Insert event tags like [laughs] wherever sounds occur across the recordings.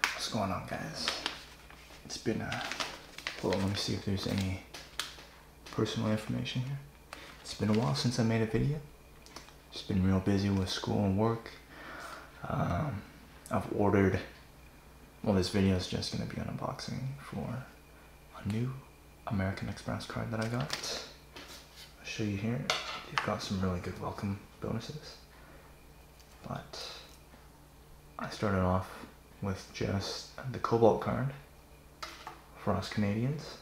What's going on guys? It's been a, hold on, let me see if there's any personal information here. It's been a while since I made a video. Just been real busy with school and work. Um, I've ordered, well this video is just gonna be an unboxing for a new American Express card that I got. I'll show you here. you have got some really good welcome bonuses. But I started off with just the Cobalt card for us Canadians.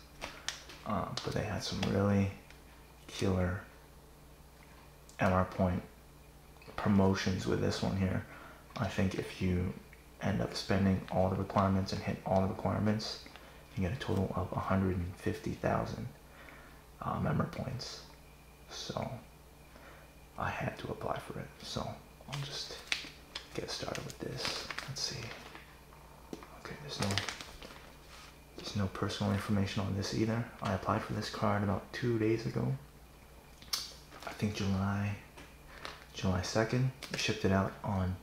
Uh, but they had some really killer MR point promotions with this one here. I think if you end up spending all the requirements and hit all the requirements, you get a total of 150,000 uh, member points. So I had to apply for it. So I'll just get started with this. Let's see. Okay, there's no there's no personal information on this either. I applied for this card about two days ago. I think July July 2nd. shipped it out on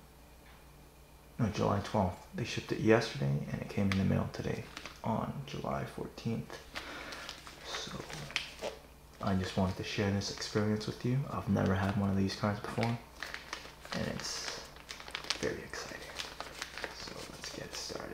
no, July 12th. They shipped it yesterday and it came in the mail today on July 14th. So I just wanted to share this experience with you. I've never had one of these cards before and it's very exciting. So let's get started.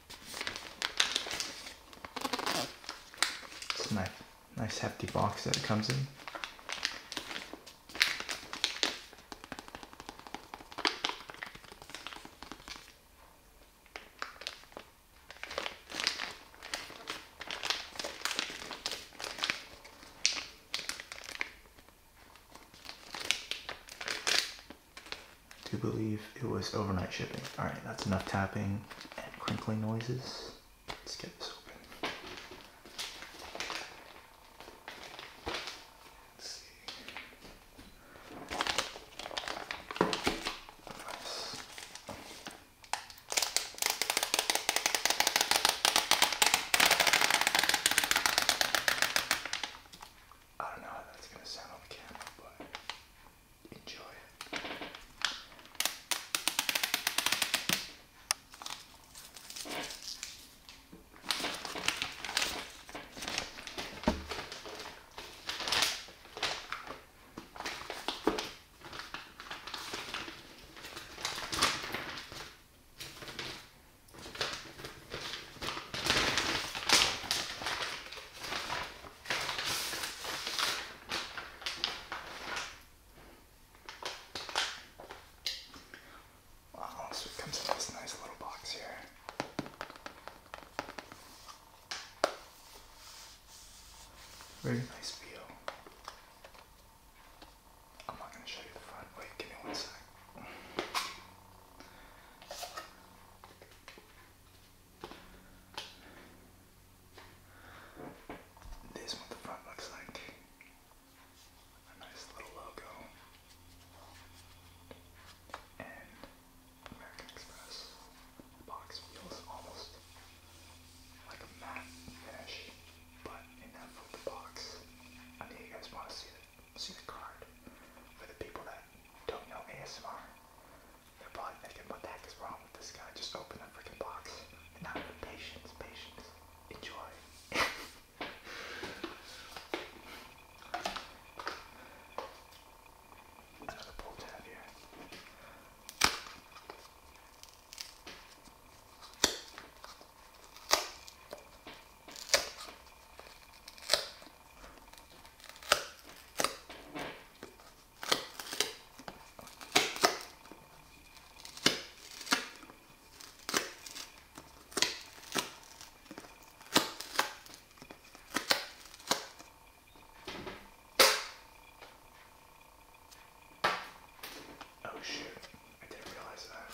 It's a nice, nice hefty box that it comes in to believe it was overnight shipping. Alright, that's enough tapping and crinkling noises. Let's get this open. Let's see. I don't know how that's gonna sound on camera, but enjoy it. Wow, so it comes in this nice little box here. Very nice feel. I'm not going to show you the front. Wait, give me one sec. This what the front looks like. A nice little logo. And American Express box feels almost like a matte finish, but enough of the box. I know you guys want to see it see the card. For the people that don't know ASMR, they're probably thinking, what the heck is wrong with this guy? Just open a freaking box. Now, patience, patience. Enjoy. [laughs] Another pull tab here. Oh shoot, I didn't realize that.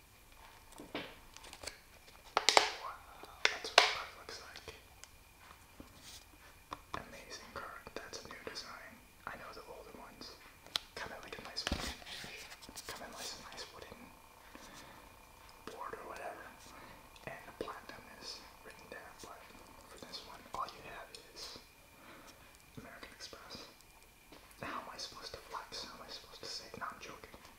Wow, that's what the looks like. Amazing card. That's a new design. I know the older ones come in like a nice wooden, come in like a nice wooden board or whatever, and the platinum is written there. But for this one, all you have is American Express. How am I supposed to flex? How am I supposed to say? No, I'm joking.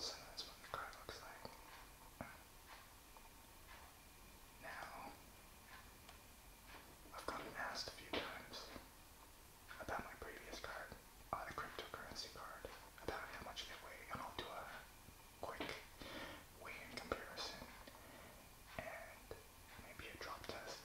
So that's what the card looks like. Now, I've gotten asked a few times about my previous card, uh, cryptocurrency card, about how much they weigh, and I'll do a quick weigh-in comparison and maybe a drop test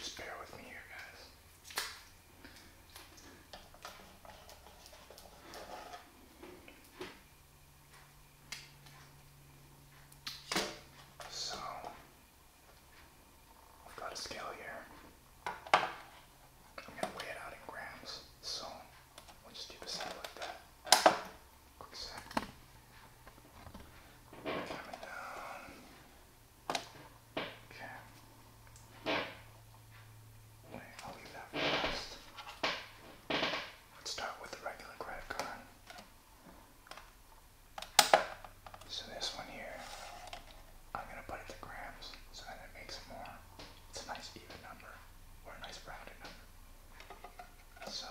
Just bear with me here, guys. So, I've got a scale here. I'm going to weigh it out in grams. So, I'll just do the sound like that. Quick sec. Coming down. Okay. Wait, I'll leave that for last. Let's start with the regular credit card. So this one here, I'm gonna put it to grams, so that it makes more. It's a nice even number, or a nice rounded number. So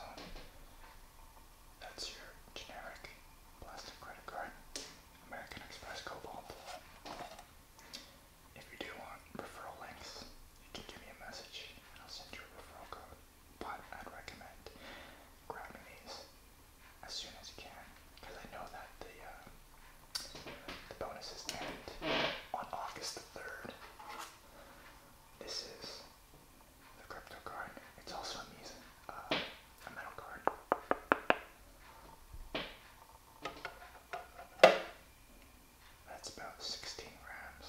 that's your generic plastic credit card, American Express Cobalt. If you do want referral links, you can give me a message and I'll send you a referral code. But I'd recommend grabbing these as soon as you can because I know that the uh, the bonuses end on August the third. This is the crypto card. It's also amazing. Uh, a metal card. That's about 16 grams.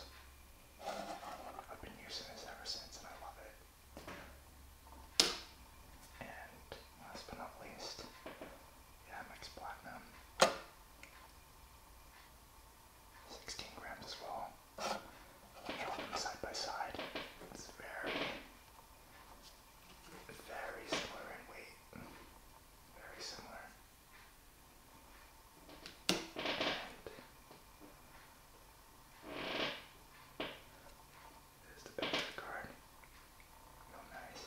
I've been using this ever since and I love it. And last but not least, yeah, Max Platinum. 16 grams as well. Drop them side by side. It's very, very similar in weight. Very similar. And the back of the card. Real nice.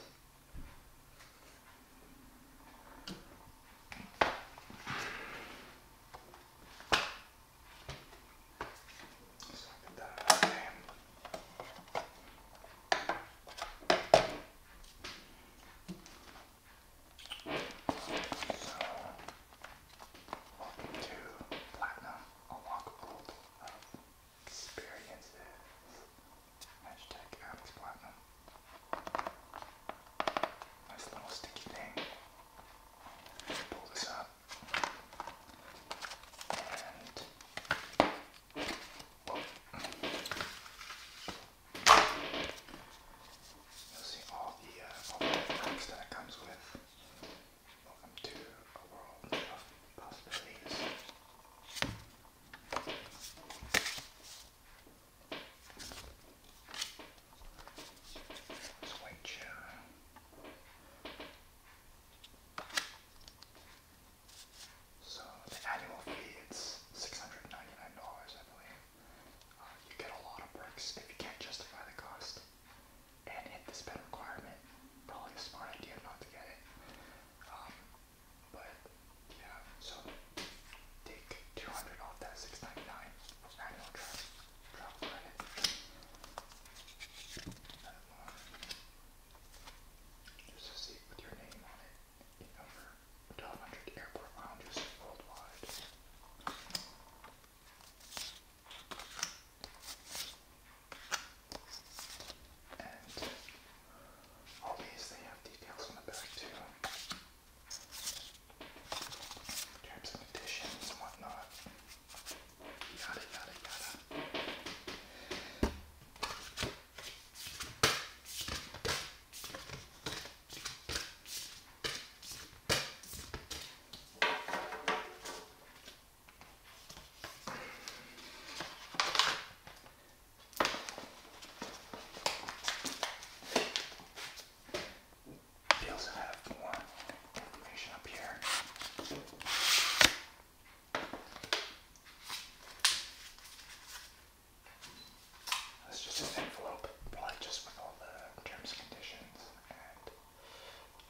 So I welcome to Platinum Unlock World of uh, Experiences. Hashtag Nice little sticky thing. pull this up. And You'll see all the uh, all the things that it comes with. Welcome to a world of possibilities which so the annual fee is six hundred and ninety nine dollars I believe. Uh, you get a lot of perks if you can't justify the cost and hit the spend requirement. Probably a smart idea not to get it. Um, but yeah, so Take 200 off that 699 annual travel, credit. Just a seat with your name on it over 1,200 airport lounges worldwide. And all these, they have details on the back too terms and conditions and whatnot. Yada yada yada they also have more information up here. That's just an envelope, probably just with all the terms and conditions and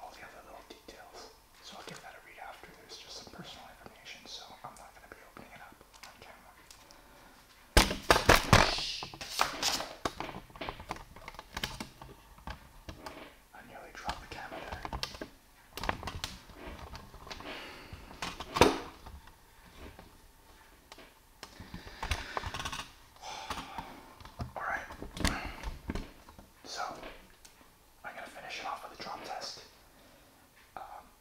all the other little details. So I'll give that a read after. There's just some personal information, so I'm not going to be opening it up on camera. I nearly dropped the camera there. [sighs] Alright. So, I'm going to finish it off with a drop test. Um,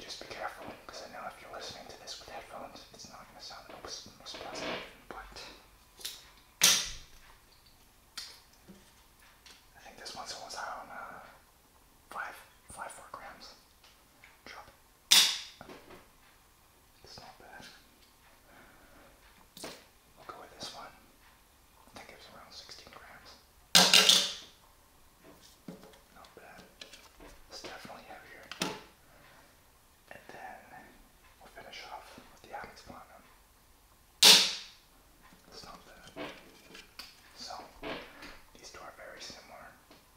just be careful, because I know if you're listening to this with headphones, it's not going to sound the most, most pleasant, but I think this one's almost on uh, five, five, four grams. Drop. It's not bad. We'll go with this one. I think around 16 grams. Not bad. It's definitely heavier. And then we'll finish off with the Amex Platinum. It's not bad. So, these two are very similar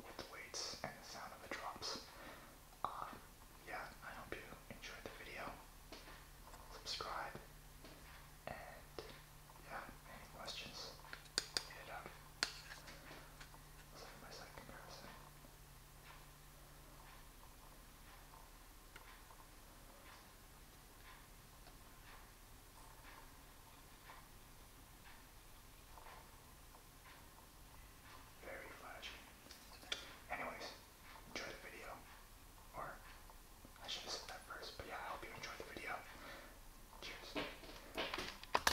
with the weights and the sound of the drops. Uh, yeah, I hope you enjoyed the video. Subscribe. And yeah, any questions, very flashy. Anyways, enjoy the video. Or, I should have said that first, but yeah, I hope you enjoyed the video. Cheers.